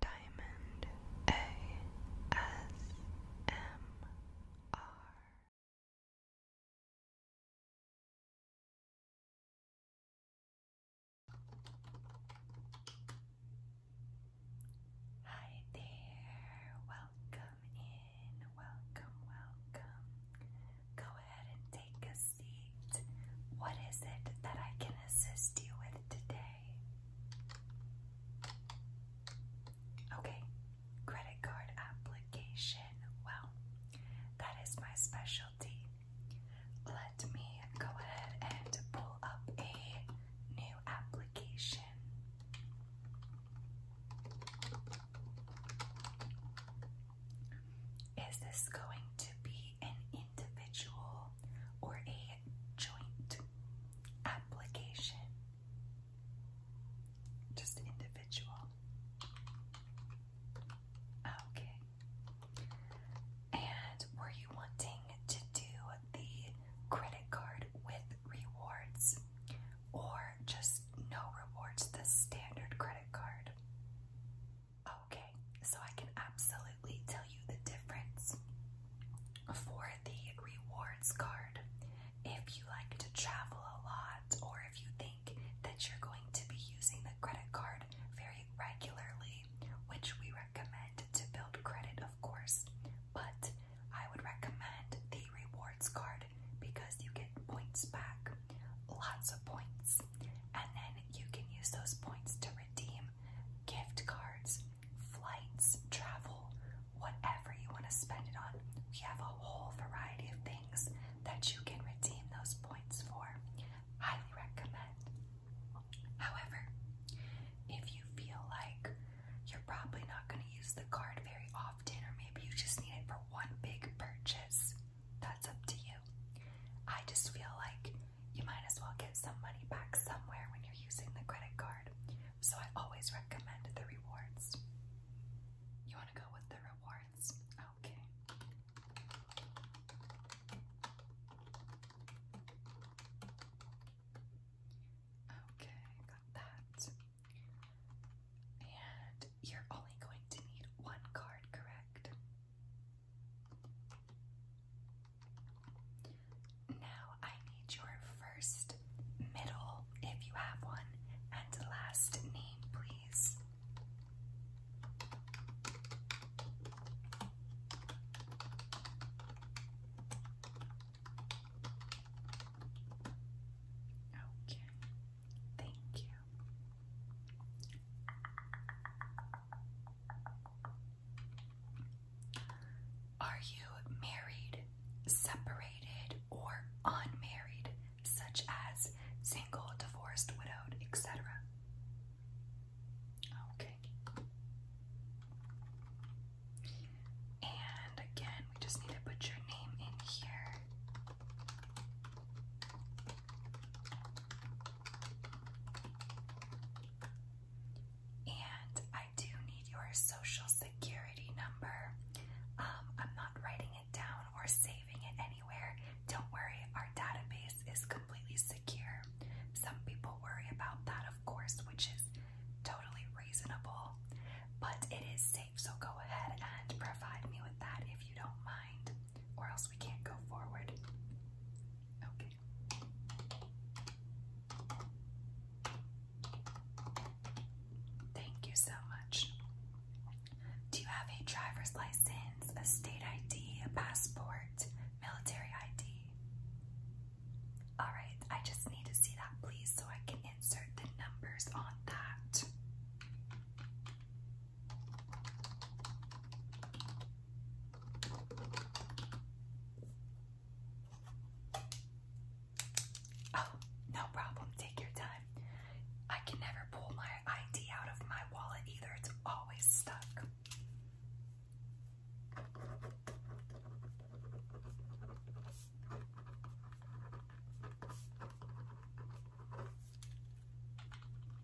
Diamond ASMR. Hi there, welcome in, welcome, welcome. Go ahead and take a seat. What is it that I can assist you with today? Okay, credit card application. Well, that is my specialty. Let me go ahead and pull up a new application. Is this going to be an individual or a joint application. Just individual. Okay. And were you wanting to do the credit card with rewards or just no rewards, the standard credit card? Okay, so I can absolutely tell you the difference for the rewards card. If you like to travel a lot, or if you think that you're going to be using the credit card very regularly, which we recommend to build credit, of course, but I would recommend the rewards card because you get points back, lots of points, and then you can use those points to redeem gift cards, flights, travel, whatever you want to spend it on. We have a whole variety of things that you can redeem those points for. Highly recommend. However, if you feel like you're probably not going to use the card very often, or maybe you just need it for one big purchase, that's up to you. I just feel like you might as well get some money back somewhere when you're using the credit card. So I always recommend the rewards. You want to go with the rewards? Okay. Okay, got that. And you're only going to need one card, correct? Now I need your first, middle, if you have one, and last name, please. Okay, thank you. Are you married, separated, or unmarried, such as single, divorced, widowed, etc.? Okay. And again, we just need to put your name in here. And I do need your social security number. Um, I'm not writing it down or saving it anywhere. Don't worry, our database is completely secure. Some people worry about that, of course, which is totally reasonable, but it is safe, so go ahead and provide me with that if you don't mind, or else we can't go forward. Okay. Thank you so much. Do you have a driver's license, a state ID, a passport, military ID? Alright, I just need to see that please so I can insert the numbers on that. Oh, no problem. Take your time. I can never pull my ID out of my wallet either, it's always stuck.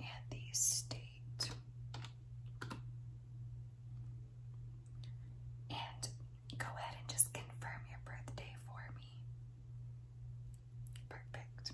and the state. And go ahead and just confirm your birthday for me. Perfect.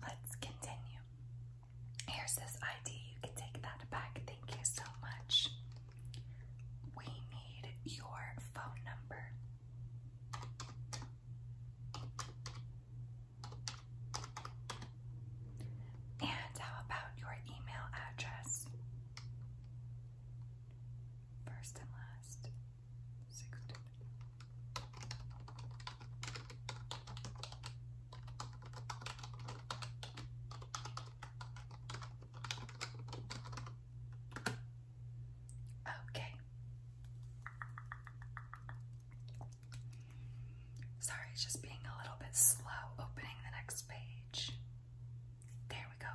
Let's continue. Here's this ID. You can take that back. Thank you so much. We need your phone number. And how about your email address? First and last. Six, Okay. Sorry, just being a little bit slow opening the next page. There we go.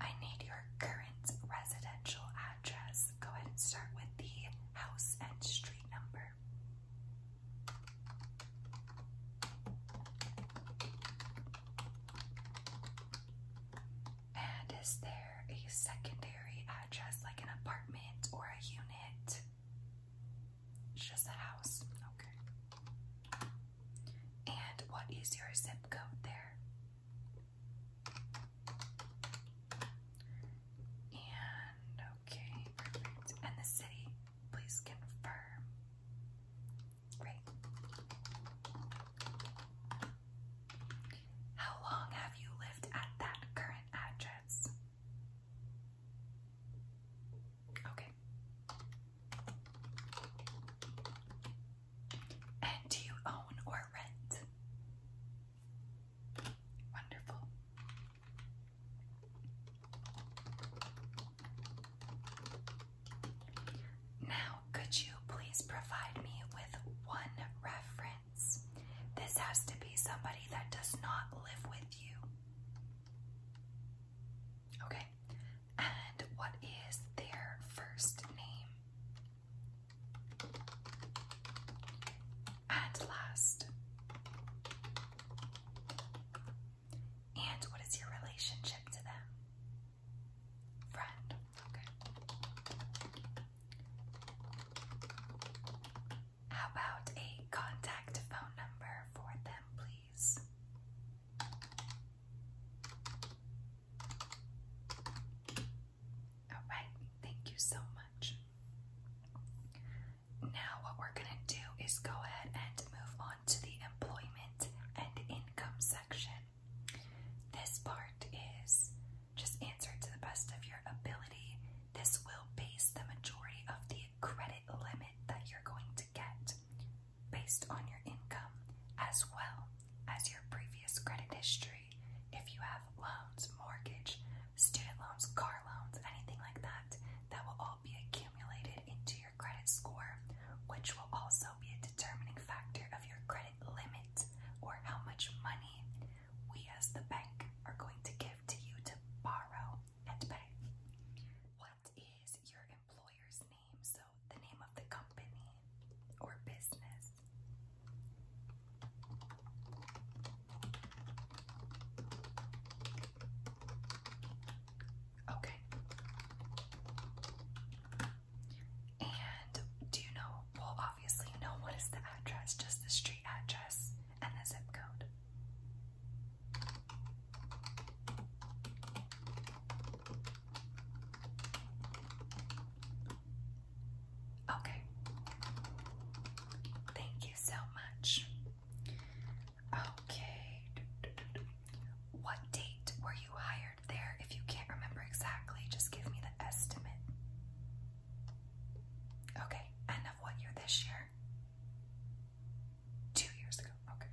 I need your current residential address. Go ahead and start with the house and street number. And is there a secondary address like an apartment or a unit? It's just a house. Okay. And what is your zip code there? And okay, perfect. And the city, please confirm. Great. How long have you lived at that current address? Okay. And do you own or rent? Wonderful. Now, could you please provide me with one reference? This has to be somebody that does not live with you. Okay, and what is their first name? And last. And what is your relationship to them? Friend. Okay. How about a contact phone number for them, please? All right, thank you so much. Now, what we're going to do is go ahead and move on to the employment and income section. This part is just answer to the best of your ability. This will base the majority of the credit limit that you're going to get based on your income as well as your previous credit history. If you have loans, mortgage, student loans, car loans, anything like that, that will all be accumulated into your credit score, which will also be a determining factor of your credit limit or how much money we as the bank are going to give to you to borrow and pay. What is your employer's name? So, the name of the company or business. Okay. And do you know, well, obviously, know what is the address, just the street address and the zip code. Okay. Thank you so much. Okay. What date were you hired there? If you can't remember exactly, just give me the estimate. Okay. And of what year this year? Two years ago. Okay.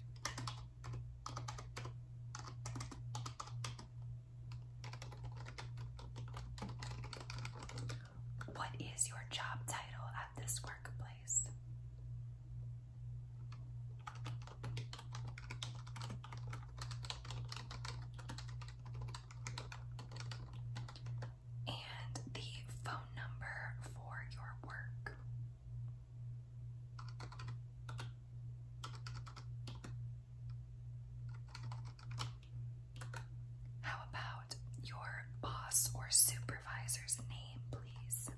What is your job title at this workplace? And the phone number for your work. How about your boss or supervisor's name, please?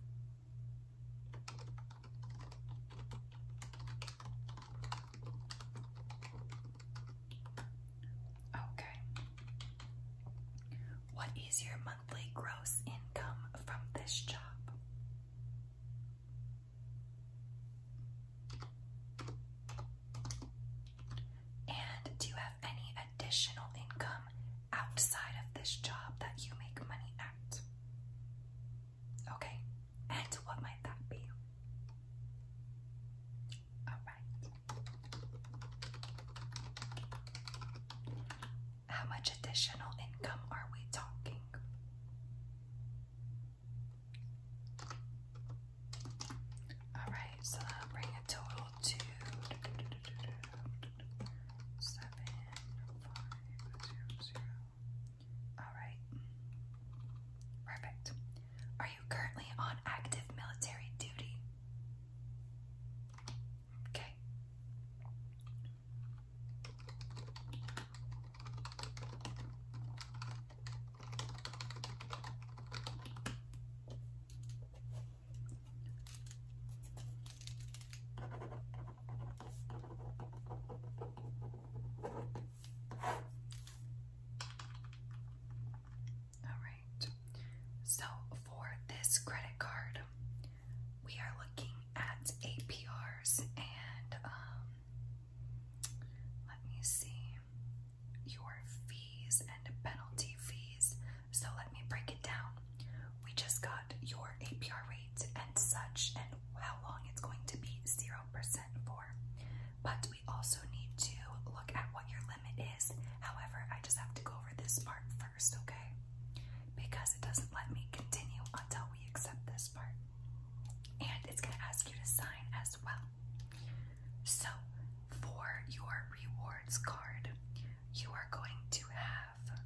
Okay. What is your monthly gross income from this job? And do you have any additional income outside of this job that you make money at? Okay, and what might that be? All right. How much additional income are we talking? All right, so that'll a total to seven five zero zero. All right, perfect. Are you currently on active military duty? Okay. All right. So for this credit card, we are looking at APRs and um, let me see your fees and penalty fees. So let me break it down. We just got your APR rates and such and how long it's going to be 0% for. But we also need to look at what your limit is. However, I just have to go over this part first, okay? Because it doesn't let me continue until we accept this part. And it's going to ask you to sign as well. So, for your rewards card, you are going to have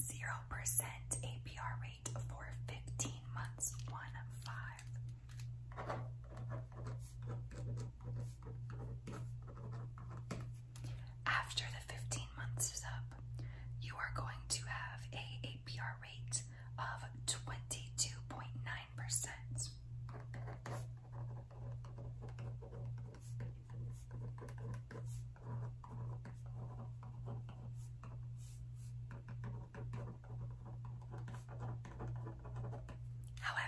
0% APR rate for 15 months, 1 5. After the 15 months is up, you are going to have a APR rate of 22.9% percent. However,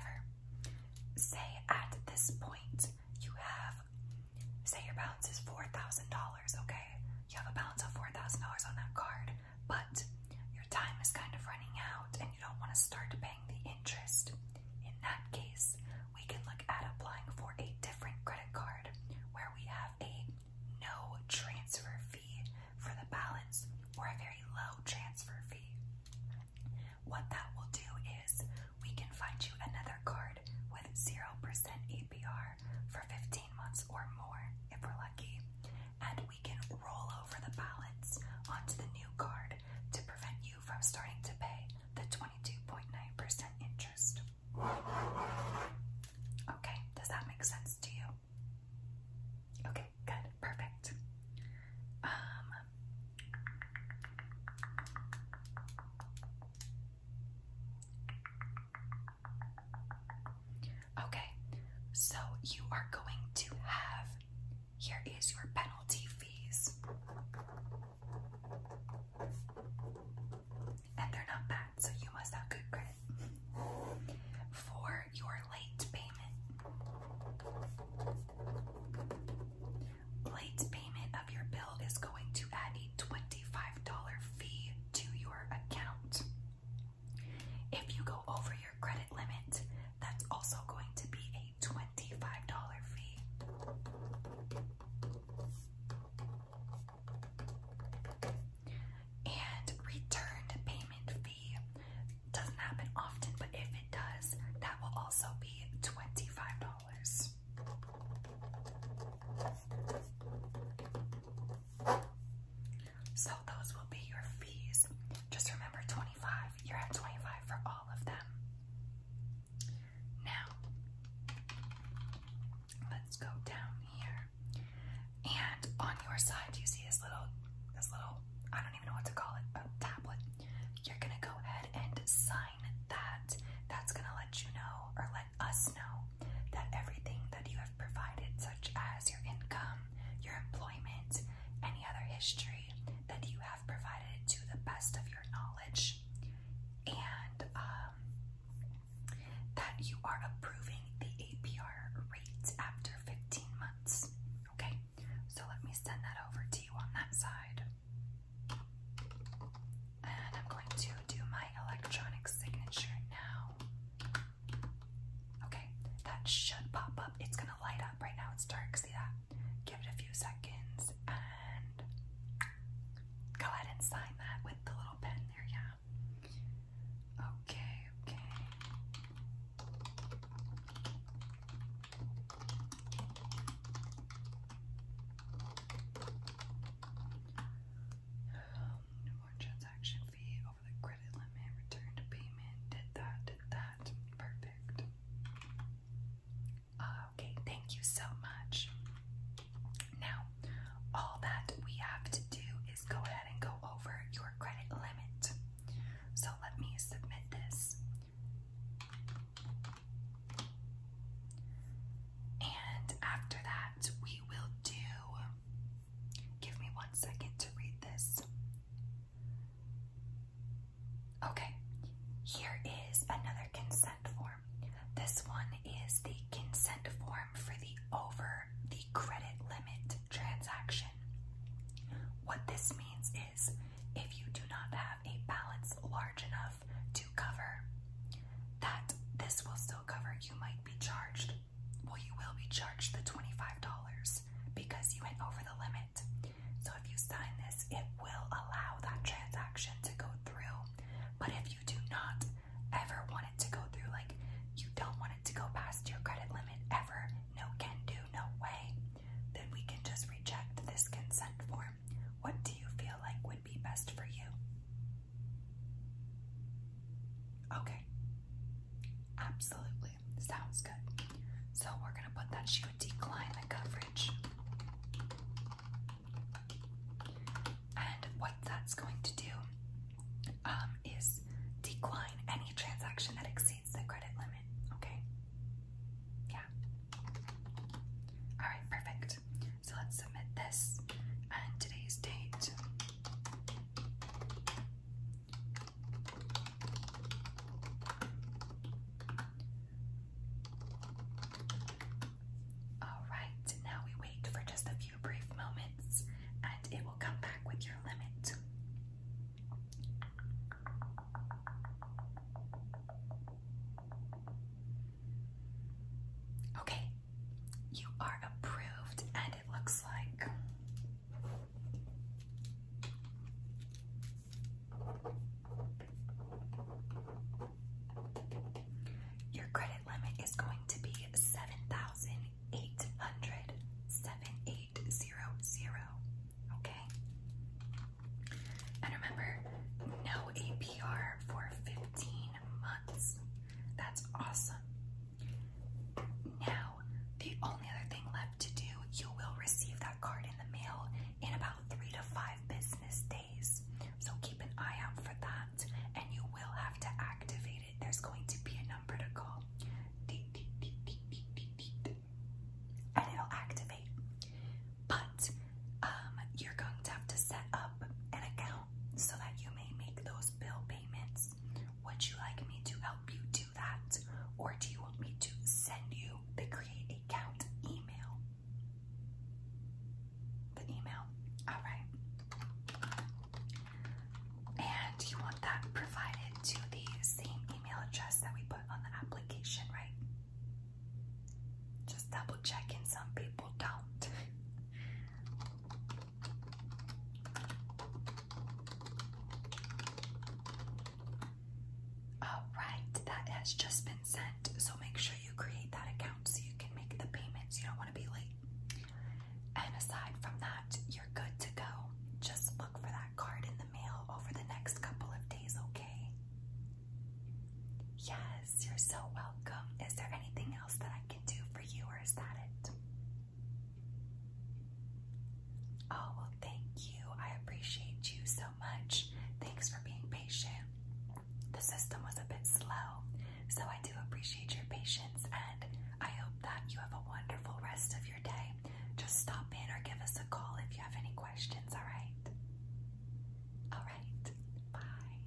say at this point you have, say your balance is $4,000, okay? You have a balance of $4,000 on that card but your time is kind of running out and you don't want to start paying the interest. In that case, we can look at applying for a different credit card where we have a no transfer fee for the balance or a very low transfer fee. What that will do is we can find you another card with 0% APR for 15 months or more if we're lucky and we can roll over the balance onto the new card to prevent you from starting to pay the 22.9% interest. Okay, does that make sense to you? Okay, good, perfect. Um, Okay, so you are going to have here is your penalty fees. And they're not bad, so you must have good credit. For your late payment, late payment of your bill is going to add a $25 fee to your account. If you go over your credit limit, that's also going to be a $25 fee. And returned payment fee doesn't happen often, but if it does, that will also be $25. So those will be your fees. Just remember 25. You're at 25 for all of them. Now, let's go down here. And on your side, you see this little, this little, I don't even know what to call it, a tablet. You're gonna go ahead and sign that. That's gonna let you know, or let us know, that everything that you have provided, such as your income, your employment, any other history that you have provided to the best of your knowledge, and um, that you are approving the APR rate after 15 months. Okay, so let me send that over to you on that side. And I'm going to do my electronic signature now. Okay, that should pop up. It's gonna light up. Right now it's dark, see that? Give it a few seconds and go ahead and sign that with the little pen there, yeah. Okay, okay. Um, transaction fee credit limit, return payment, did that, did that. Perfect. Uh, okay, thank you so much. Now, all that we have to do is go ahead and go over your credit limit. So let me submit this. And after that, we will do Give me one second to read this. Okay, here is another consent form. This one is the consent form for the over the credit limit transaction. What this means is if you do not have a balance large enough to cover that, this will still cover, you might be charged well, you will be charged the $25 because you went over the limit. So if you sign this, it will allow that transaction to go through. But if you do not ever want it to go through, like you don't want it to go past your credit limit ever, no can do, no way, then we can just reject this consent form. What do you feel like would be best for you? Okay. Absolutely. Sounds good. So we're going to put that she would decline the coverage. And what that's going to do um, is decline any transaction that exceeds the credit limit. Okay? Yeah. Alright, perfect. So let's submit this and today's date Alright, now we wait for just a few brief moments and it will come back with your limit. Okay, you are approved and it looks like. Your credit limit is going to be seven thousand eight hundred seven eight zero zero. Okay. And remember, no APR for fifteen months. That's awesome. Now, the only other thing left to do, you will receive that card in the mail in about three to five business days. So keep an eye out for that, and you will have to activate it. There's going to be a number to call. And it'll activate. But um, you're going to have to set up an account so that you may make those bill payments would you like me to help you do that? Or do you want me to send you the create account email? The email. Alright. And you want that provided to the same email address that we put on the application, right? Just double checking, some people don't. All right, that has just been sent. So make sure you create that account so you can make the payments. You don't want to be late. And aside from that, you're good to go. Just look for that card in the mail over the next couple of days, okay? Yes, you're so welcome. Is there anything else that I do for you, or is that it? Oh, well, thank you. I appreciate you so much. Thanks for being patient. The system was a bit slow, so I do appreciate your patience, and I hope that you have a wonderful rest of your day. Just stop in or give us a call if you have any questions, alright? Alright, bye.